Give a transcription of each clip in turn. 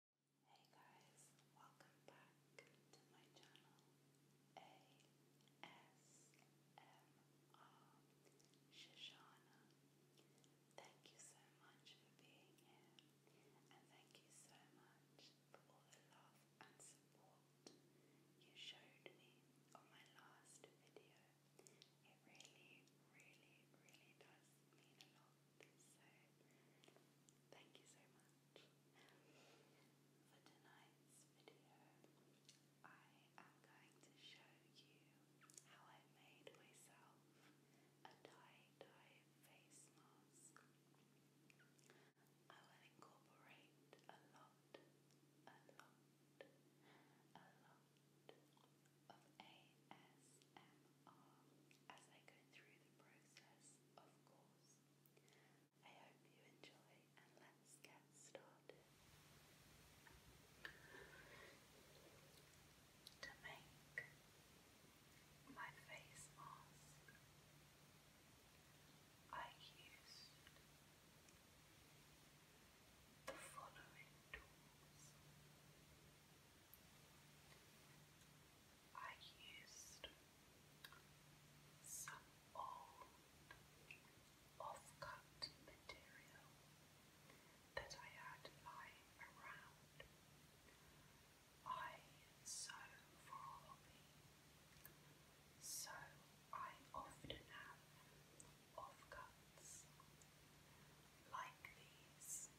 Hey guys, welcome back to my channel ASMR Shoshana. Thank you so much for being here and thank you so much for all the love and support you showed me on my last video. It really, really, really does mean a lot. So thank you so much. For tonight's video, I am going to show you how I made myself a tie-dye face mask. I will incorporate a lot, a lot, a lot of ASMR um, as I go through the process, of course. I hope you enjoy and let's get started. To make my face mask, I used the following tools. I used some old off material that I had lying around. I sew for a hobby, so I often have off like these.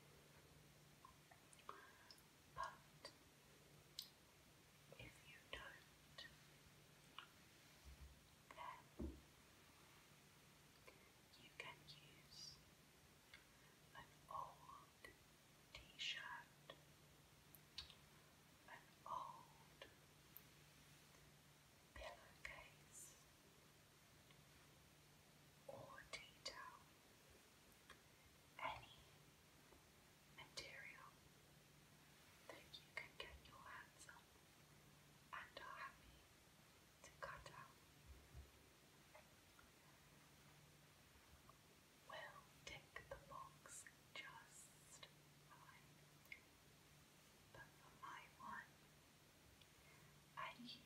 But if you don't, you can use an old t shirt, an old pillowcase, or towel any material that you can get your hands on and are happy to cut out. will tick the box just fine. But for my one, I used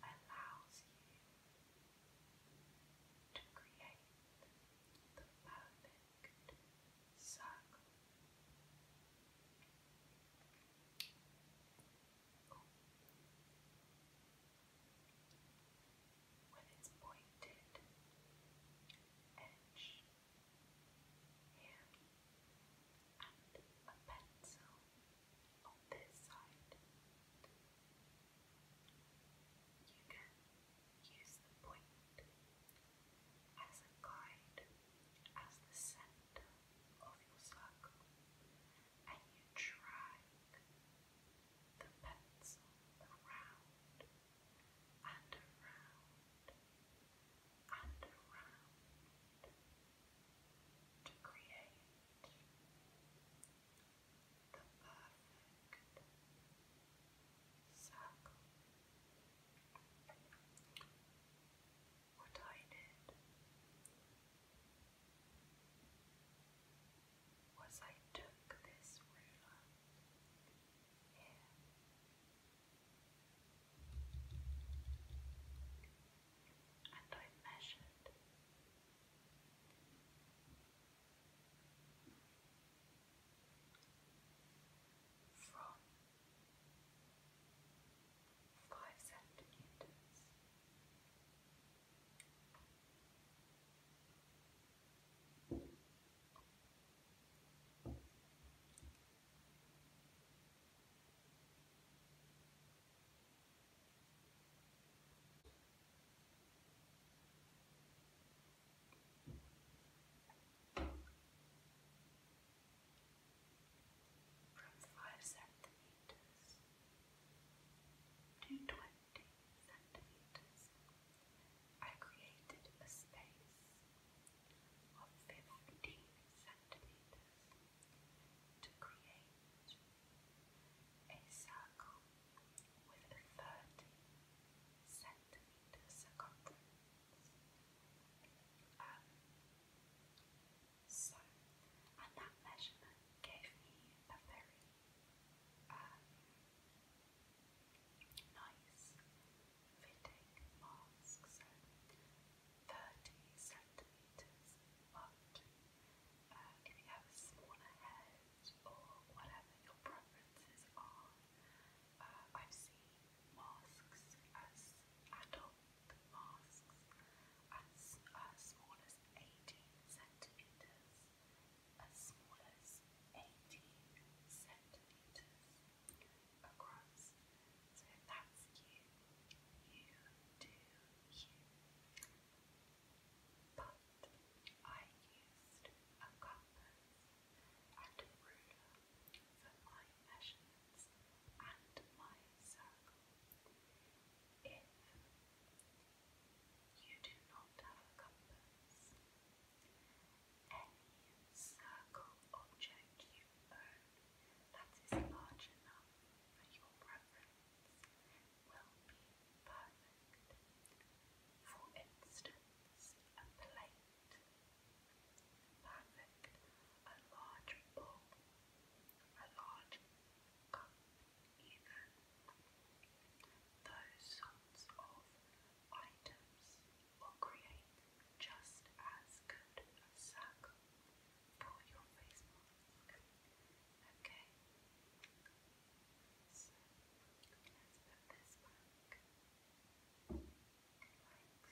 allows you to create the perfect circle. Ooh. its pointed edge here and a pencil on this side. You can use the point as a guide, as the center of your circle, and you drag the pencil around and around and around to create the perfect circle. What I did was I took this ruler here and I measured. From five centimeters from five centimeters to twenty centimeters. I created a space of fifteen centimeters to create a circle with a 30 centimeter circumference. Um, so, and that measurement gave me a very um, nice fitting mask. So 30 centimeters apart. Uh, if you have smaller head or whatever your preferences are, uh, I've seen masks as adult masks as, as uh, small as 18 centimeters, as small as 18 centimeters across. So that's you, you do But I used a compass and a ruler for my measurements and my circle. If you do not have a compass, any circle object you own that is large enough and your preference will be perfect. For instance, a plate, perfect, a large bowl, a large cup, even. Those of items will create just as good a circle for your Okay. So let's put this back like so. And move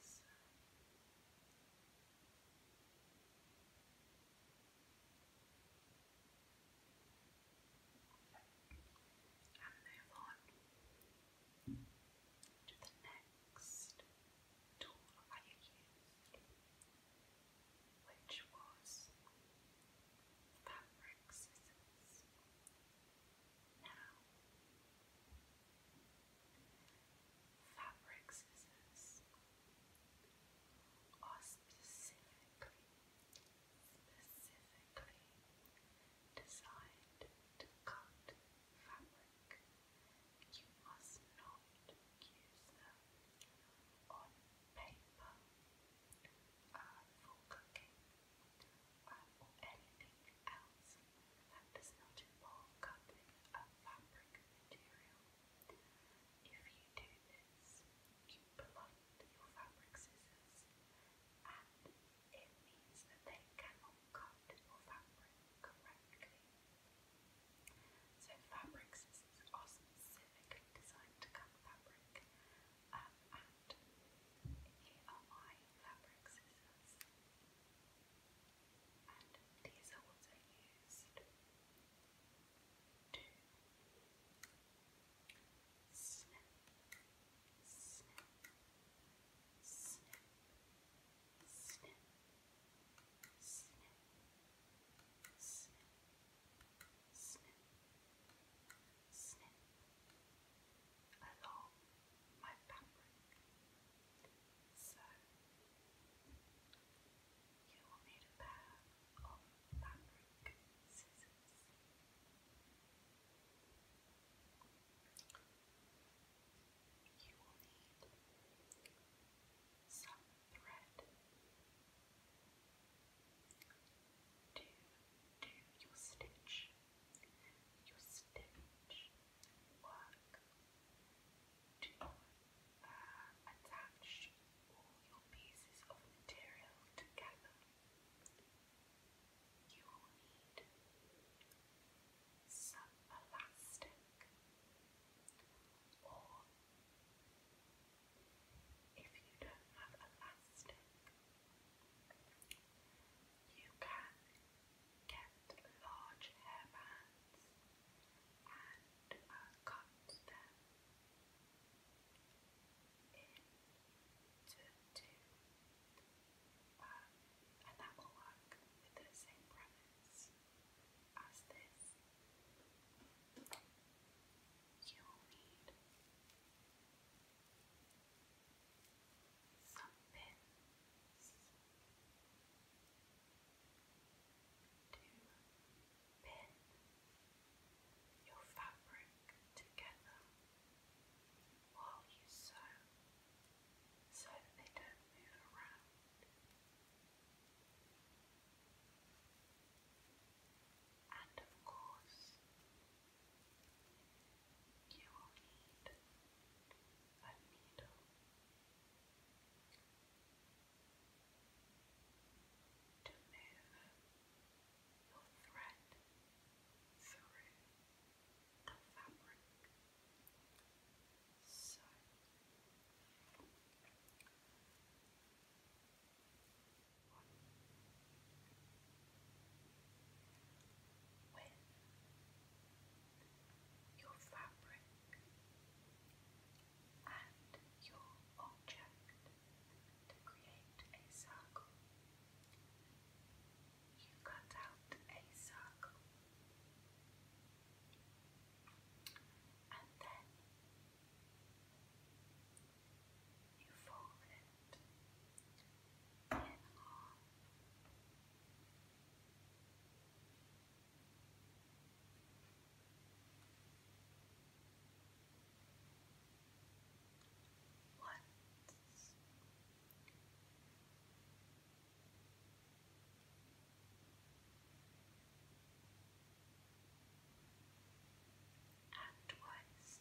on to the next tool I used, which was fabric scissors. Now, fabric scissors are specifically, specifically designed to cut fabric work. You must not use them on paper uh, for or anything else that does not involve cutting a fabric material. If you do this, you blunt your fabric scissors and it means that they cannot cut your fabric correctly. So fabrics are specifically designed to cut fabric. Um, and here are my fabric And these are what used to snip, snip, snip, snip along my fabric. So you will need a pair of fabric scissors you will need some thread to do your stitch, your stitch work to attach all your pieces of material together. You will need some elastic, or if you don't have elastic, you can get large hairbands and uh, cut them into two. Uh, and that will work with the same premise as this. You'll need some pins to pin your fabric together while you sew so they don't move around. And of course, you will need a needle. To move your thread through the fabric, so your fabric and your object to create a circle, you cut out a circle and then you fold it in half. Once and twice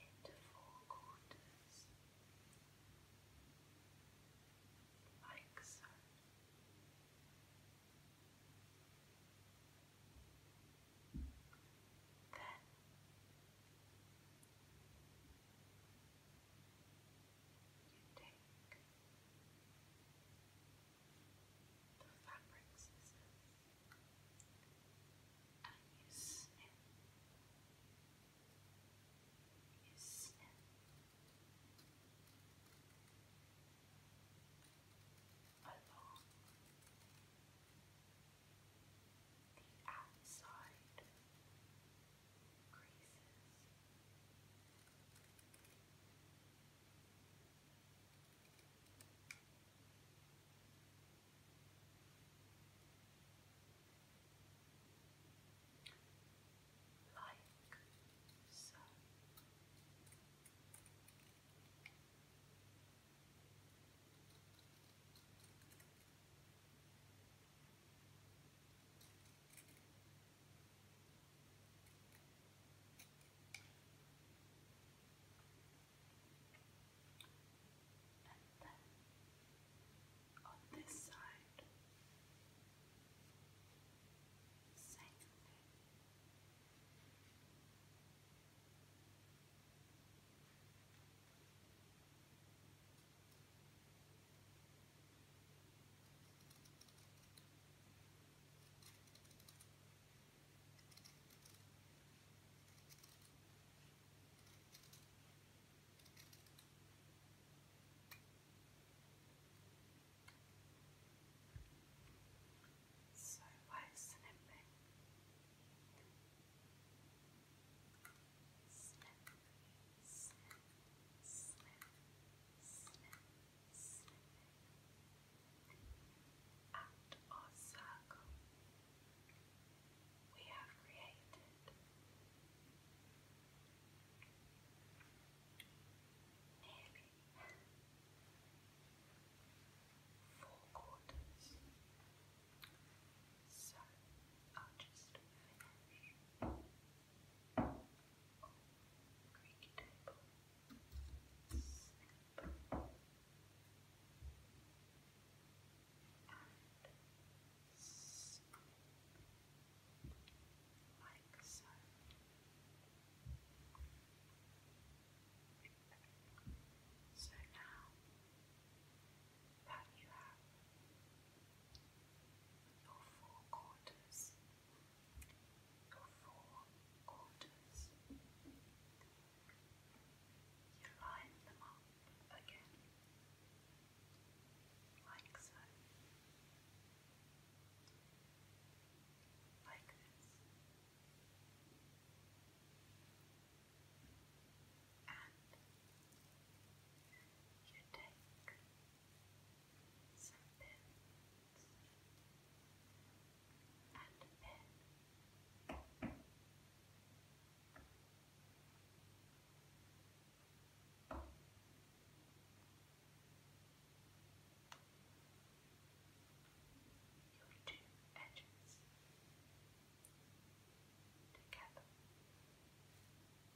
into four quarters, like so. Then you the fabric scissors and you snip, you snip. Along the outside creases. Like so. Now and then on this side, same thing. So why is it big? snip, snip, snip, circle we have created. Nearly four quarters. So I'll just finish creaky So now that you have your four quarters, your four quarters. You line them up again, like so, like this and you take some pins and a pin. Your two edges together,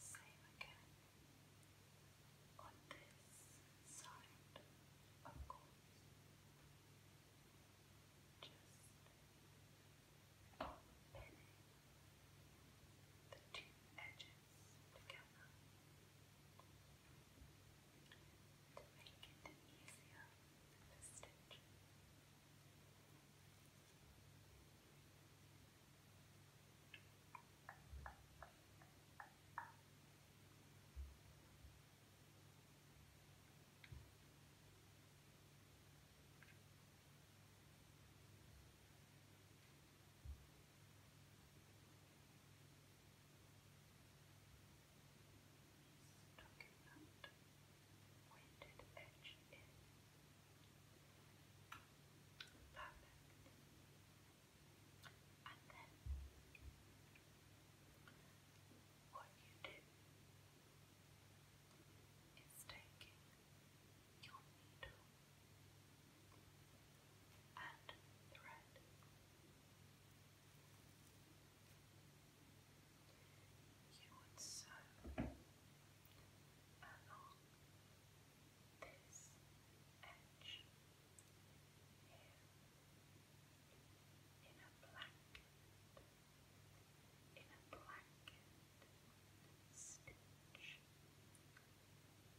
Same again on this side, of course. Just pinning the two edges together to make it easier for stitching. Just talking about weighted edge in. Perfect. And what you do is taking your needle and thread. You would sew along this edge here in a blanket, in a blanket stitch,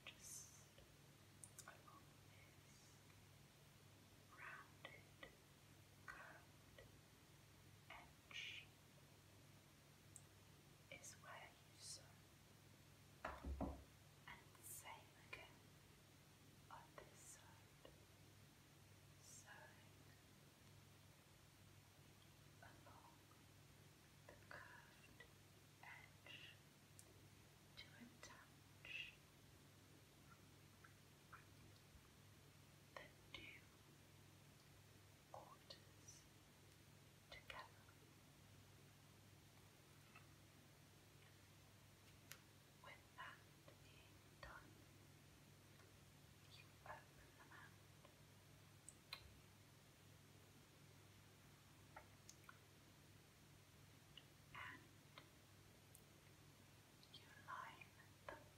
just along this rounded, curved edge is where you sew and the same again on this side. Sewing along the curved edge to touch the new quarters together. With that done, you open them out. And you line them up.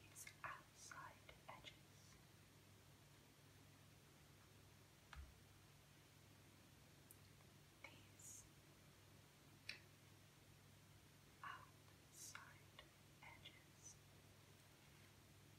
these outside edges. These outside edges.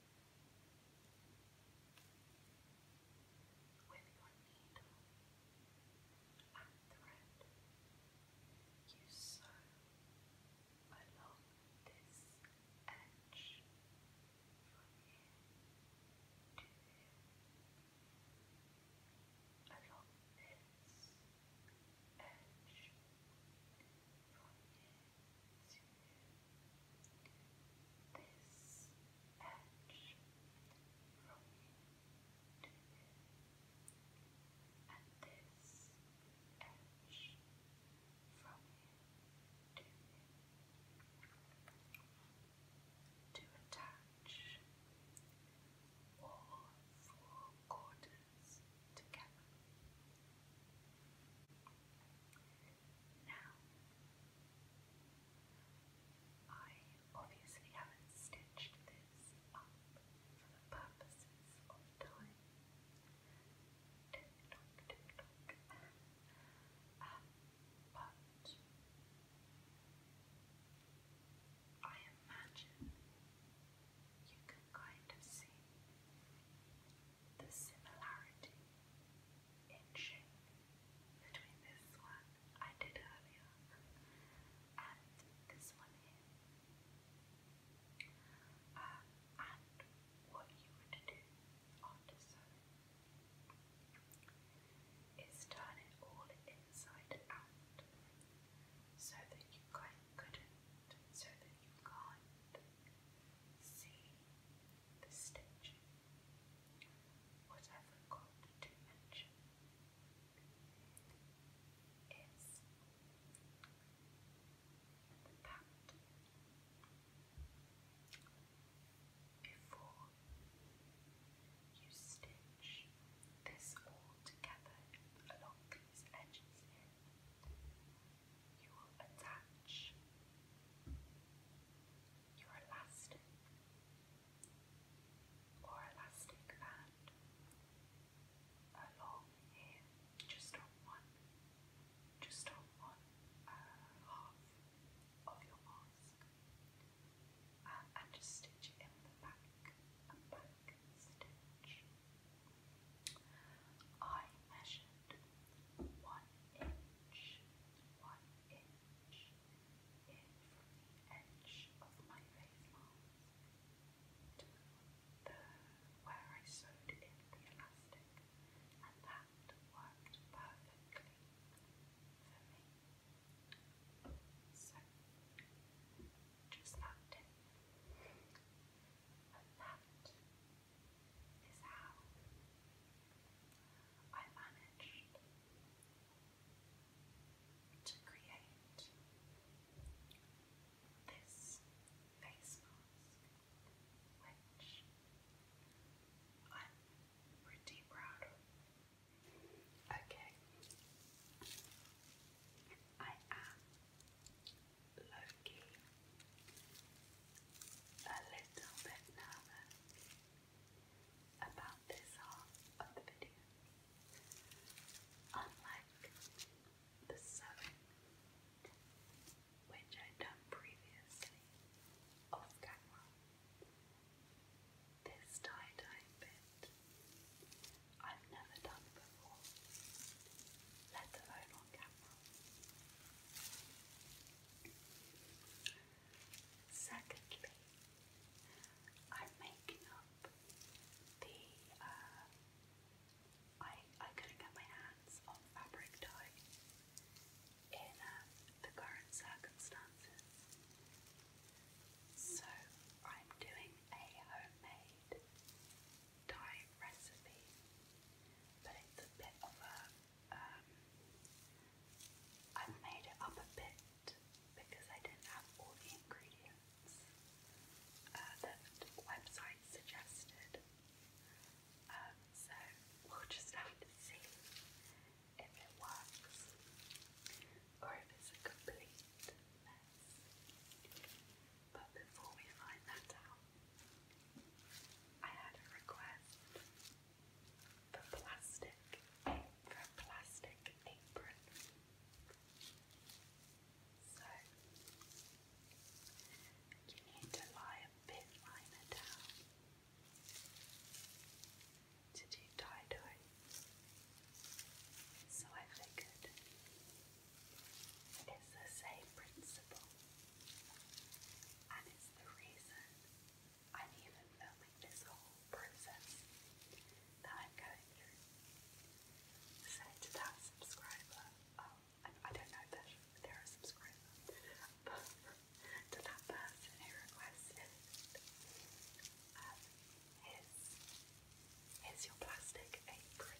with your needle and thread, you sew along this edge from here to here, along this edge this edge from here to here, and this edge from here to here, to attach all four quarters together. Now, I obviously haven't stitched this up for the purposes of time. Tick tock, tick tock. Um, but I imagine you can kind of see the similarity in shape between this one I did earlier and this one here. Um, and what you would do after sewing is turn it all inside out so that you couldn't, so that you can't See the stitching, whatever got is the Before you stitch this all together along these edges you will attach. Your elastic or elastic band along here, just on one, just on one uh, half of your mask, uh, and just stitch it in the back back stitch. I measured one inch, one inch in from the edge of my face mask to the where I sewed in the elastic, and that worked perfectly for me. So just that tip. And that is how I managed to create this face which I'm pretty proud of. Okay, I am lucky, a little bit nervous about this half of the video. Unlike the sewing, which I'd done previously off camera, this tie dye bit I've never done before, let alone on camera. Secondly, I'm making up the. Uh, I I couldn't get my hands on fabric dye in um, the current circumstances, so I'm doing a homemade Thai recipe, but it's a bit of a. Um, I've made it up a bit because I didn't have all the ingredients uh, that the suggested. Um, so we'll just have to see if it works or if it's a complete mess. But before we find that out, I had a request for plastic, for a plastic apron. So you need to lie a bit liner down to do tie So I figured it's the same principle. And it's the reason I'm even filming this whole process that I'm going through. So to that subscriber, oh, I, don't know if they're a but to that person who requested um, his, your plastic apron.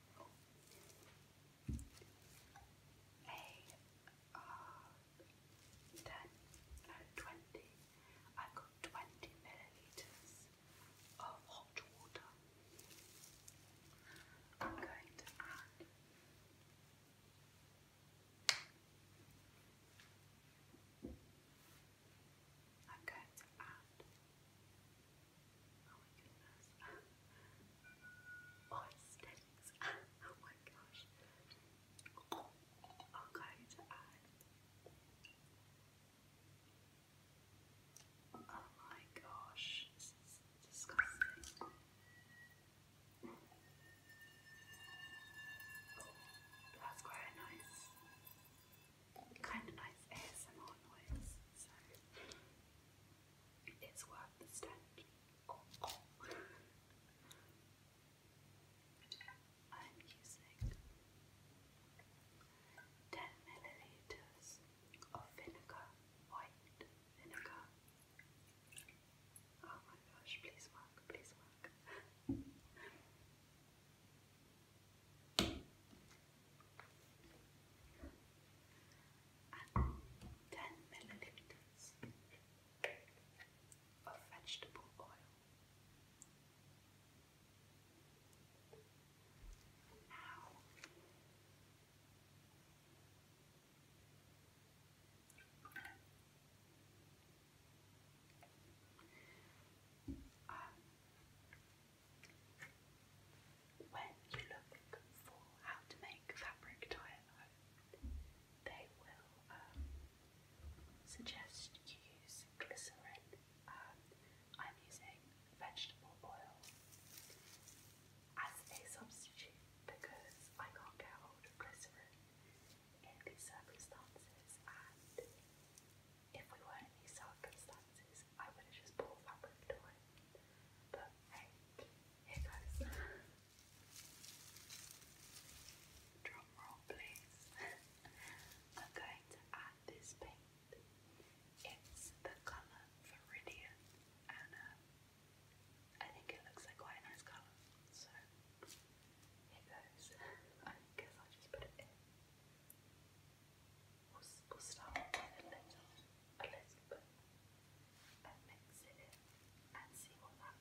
a uh, I've got 20 millilitres of hot water. I'm going to add I'm going to add Oh my Oh, my gosh. I'm going to add. Oh my gosh, this is disgusting. Mm. that's quite nice kind of nice ASMR noise, so it's worth the stench. Uh, I'm using 10 milliliters of vinegar, white vinegar. Oh my gosh, please work, please work and 10 milliliters of vegetable oil. Now, um, when you look for how to make fabric tie they will um, suggest you use glycerin. Um, I'm using vegetable oil as a substitute because I can't get hold of glycerin in these circumstances if we were in these circumstances, I would just pulled that ripped away. But hey, here goes. Drum roll, please. i to add this paint. It's the colour Viridian, and I think it looks like quite a nice colour. So here goes. I guess I'll just put it in we a little, a little bit, and mix it and see what that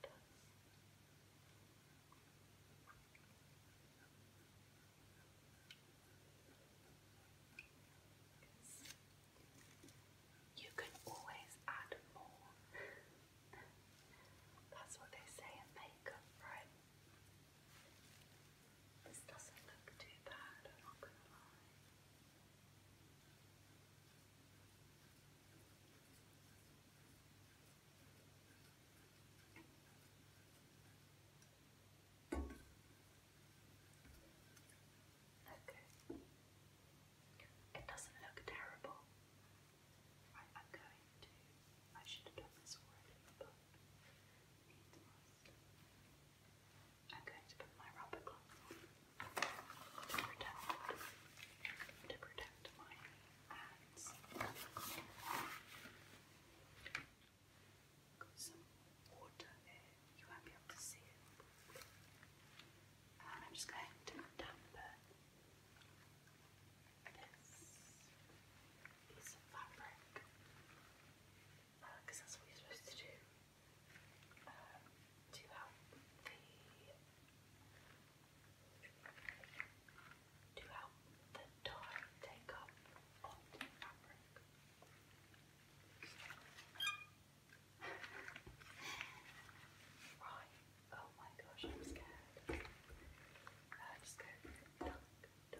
You can always add more. That's what they say in makeup, right? This doesn't look too bad, I'm not gonna lie. Okay. It doesn't look terrible. I'm going to. I should have done this already, but it must. I'm going to put my rubber gloves on to protect, to protect my hands. Got some water there, you won't be able to see it. I'm just going to damper this piece of fabric do um, help the to take up on the fabric. Right. Oh my gosh, I'm scared. Uh, just go duck, duck.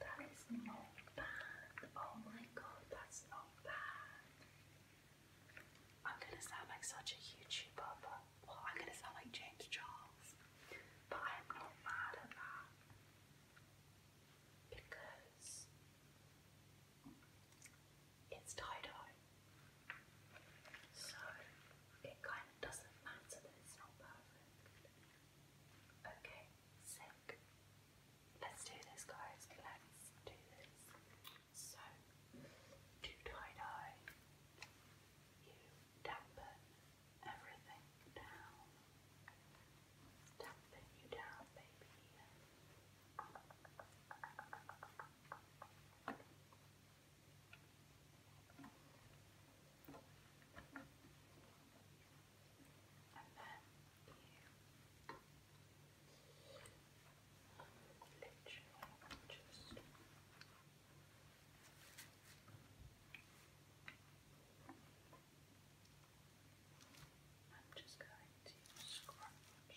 That is not bad. Oh my god, that's not bad. I'm gonna sound like such a YouTuber, but I'm gonna sound like James Charles. But I'm not mad at that. Because it's tie-dye. So it kind of doesn't matter that it's not perfect. Okay, sick. Let's do this guys, let's do this. So to tie-dye, you dampen everything down. Dumping you down, baby. And then you literally just Brush I'm just going to scrunch. There.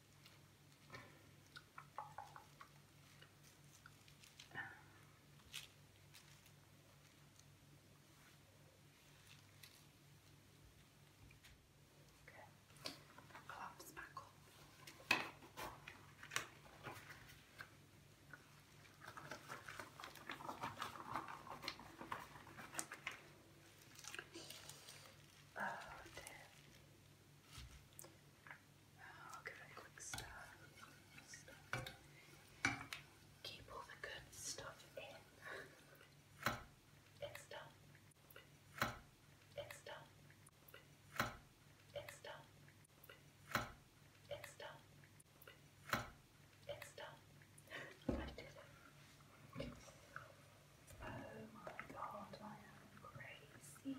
Okay. Gloves back on. Oh damn. Oh, okay, quick stuff. Keep all the good stuff in. It's done. It's done. It's done. It's done. It's done. I did it. Oh my god, I am crazy.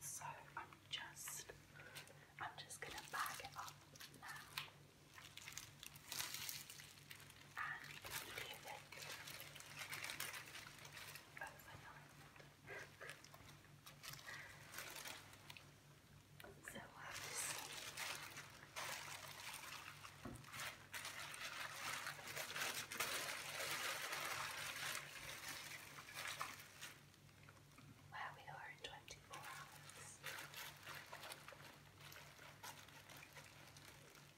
So I'm just I'm just gonna bag it up now and leave it overnight. So I uh, where we are in 24 hours.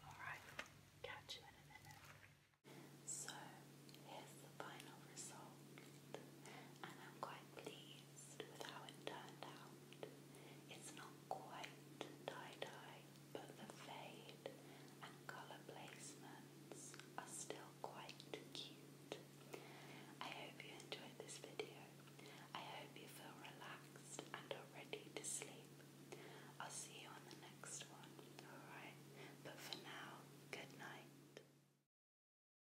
Alright, catch you in a minute. So here's the final result, and I'm quite pleased with how it turned out. It's not quite tie-dye, but the fade and colour placements are still quite cute. I hope you enjoyed this video. I hope you feel relaxed and are ready to sleep. I'll see you on the next one, alright? But for now, good night.